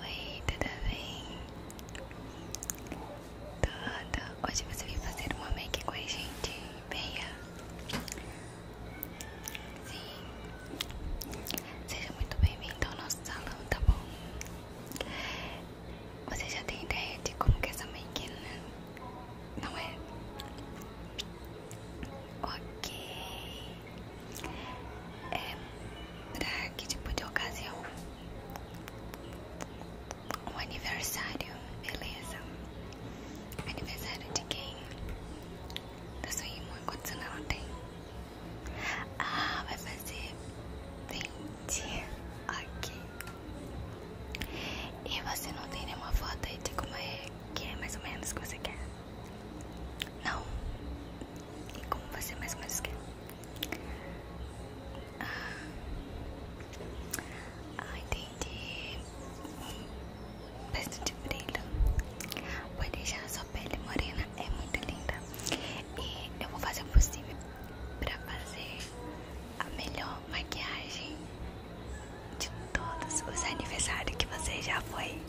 Oi, tudo bem? Tudo? Hoje você veio fazer uma make com a gente, Meia? Sim. Seja muito bem-vindo ao nosso salão, tá bom? Você já tem ideia de como que essa make, né? Não é? Ok. É pra que tipo de ocasião? Um aniversário, beleza? Aniversário de quem? Da sua irmã, quantos anos ela tem? Ah, vai fazer 20. Ok. E você não tem nenhuma foto aí de como é que é mais ou menos que você quer? Não? E como você mais ou menos quer. Ah. ah, entendi. Um peço de brilho. Vai deixar a sua pele morena. É muito linda. E eu vou fazer o possível pra fazer a melhor maquiagem de todos os aniversários que você já foi.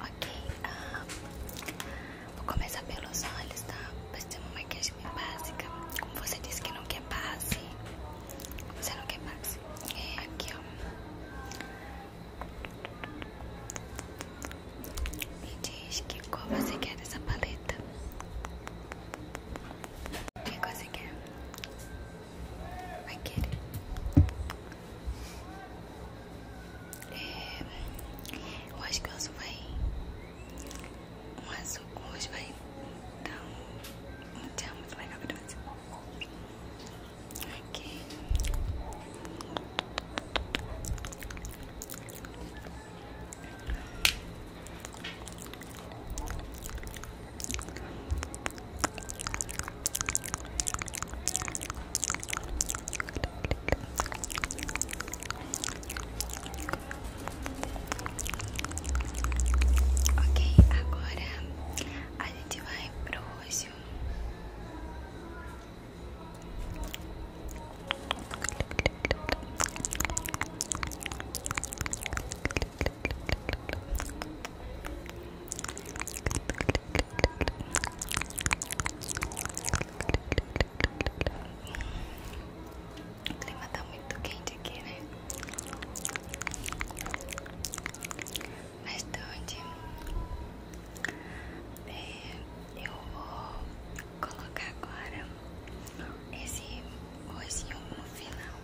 Ok, ah, vou começar pelos olhos, tá? Vai ser uma maquiagem bem básica. Como você disse que não quer base, você não quer base. É aqui, ó. Me diz que qual você quer dessa paleta. Que cor você quer? vai querer. É, eu acho que o azul vai. O azul hoje vai dar um, um tchau muito legal pra Ok. Ok, agora a gente vai pro roxo. Clic, o clima tá muito quente aqui, né? Mais tarde é, eu vou colocar agora esse oizinho no final.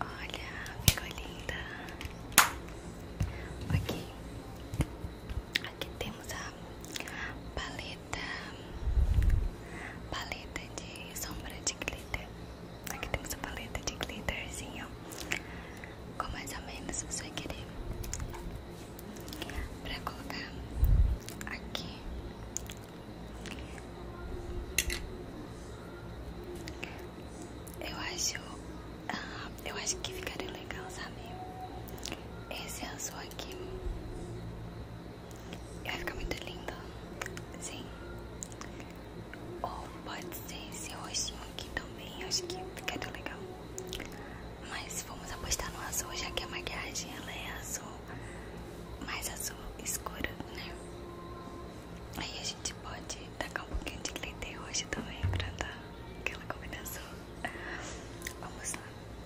Olha, ficou linda. aqui aqui temos a paleta paleta paleta de sombra de glitter aqui temos a paleta de glitterzinho com mais ou menos você vai querer pra colocar aqui eu acho ah, eu acho que ficaria legal sabe esse azul aqui e vai ficar muito linda. Sim. Ou pode ser esse roxinho aqui também. Acho que ficaria legal. Mas vamos apostar no azul, já que a maquiagem é azul. Mais azul escuro, né? Aí a gente pode tacar um pouquinho de glitter hoje também pra dar aquela combinação. Vamos lá.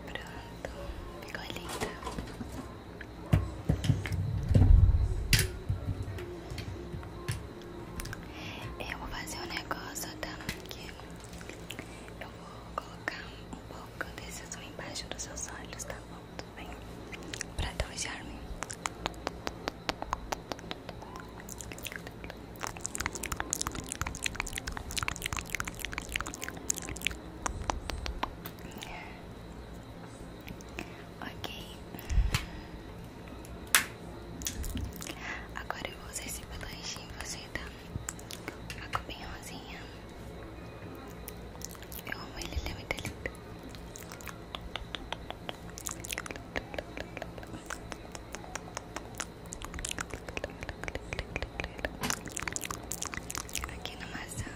Pronto, ficou linda. Eu vou fazer um negócio, tá? Que eu vou colocar um pouco desse azul embaixo dos seus olhos, tá bom? Tudo bem? Pra dar um charme. Ok. Agora eu vou usar esse blush e você tá a cor rosinha. Eu amo ele, ele é muito lindo. Aqui no maçã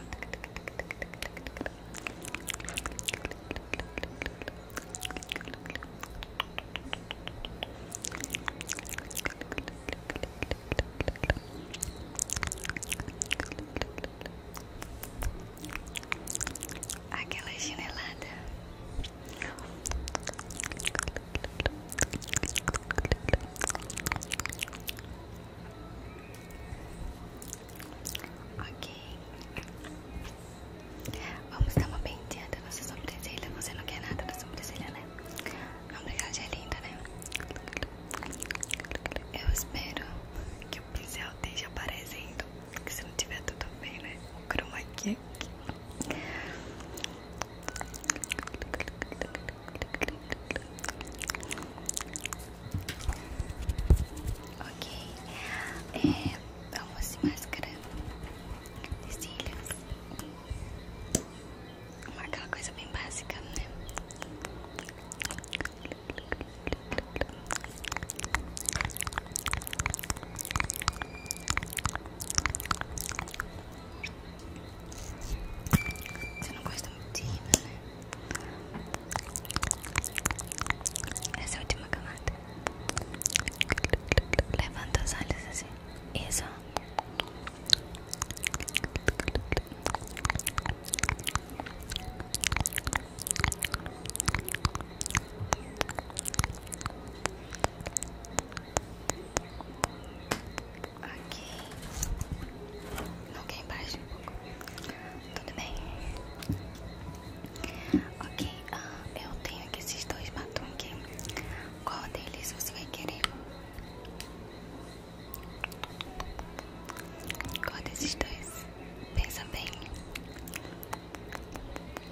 Aquela chinelada Ok. Vamos dar uma penteada nessa sobrancelha. Você não quer nada da sobrancelha, né? A maquiagem é linda, né? Eu espero que o pincel esteja aparecendo. Porque se não tiver tudo bem, né? O chroma aqui. Ok, é, vamos se mascarando os uma aquela coisa bem básica, né? Você não gosta muito de rima, né? Essa é a última camada. Levanta os olhos assim. Isso. Aqui. Ok, baixa embaixo. Tudo bem? Ok, ah, eu tenho aqui esses dois batuques. Qual deles você vai querer? Qual desses dois? Pensa bem.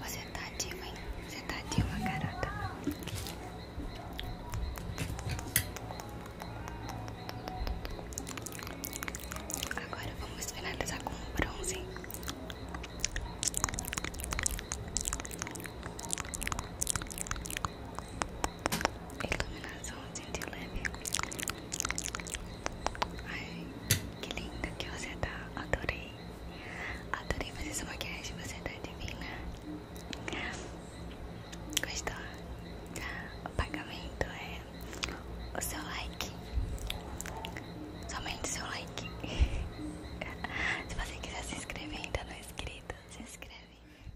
Você tá ativa, Você tá de ativa, garota. Agora vamos finalizar com o bronze iluminaçãozinho leve. Ai, que linda que você tá. Adorei. Adorei fazer essa maquiagem. Você tá divina. Gostou? O pagamento é o seu like. Somente o seu like. se você quiser se inscrever, ainda não é inscrito, se inscreve.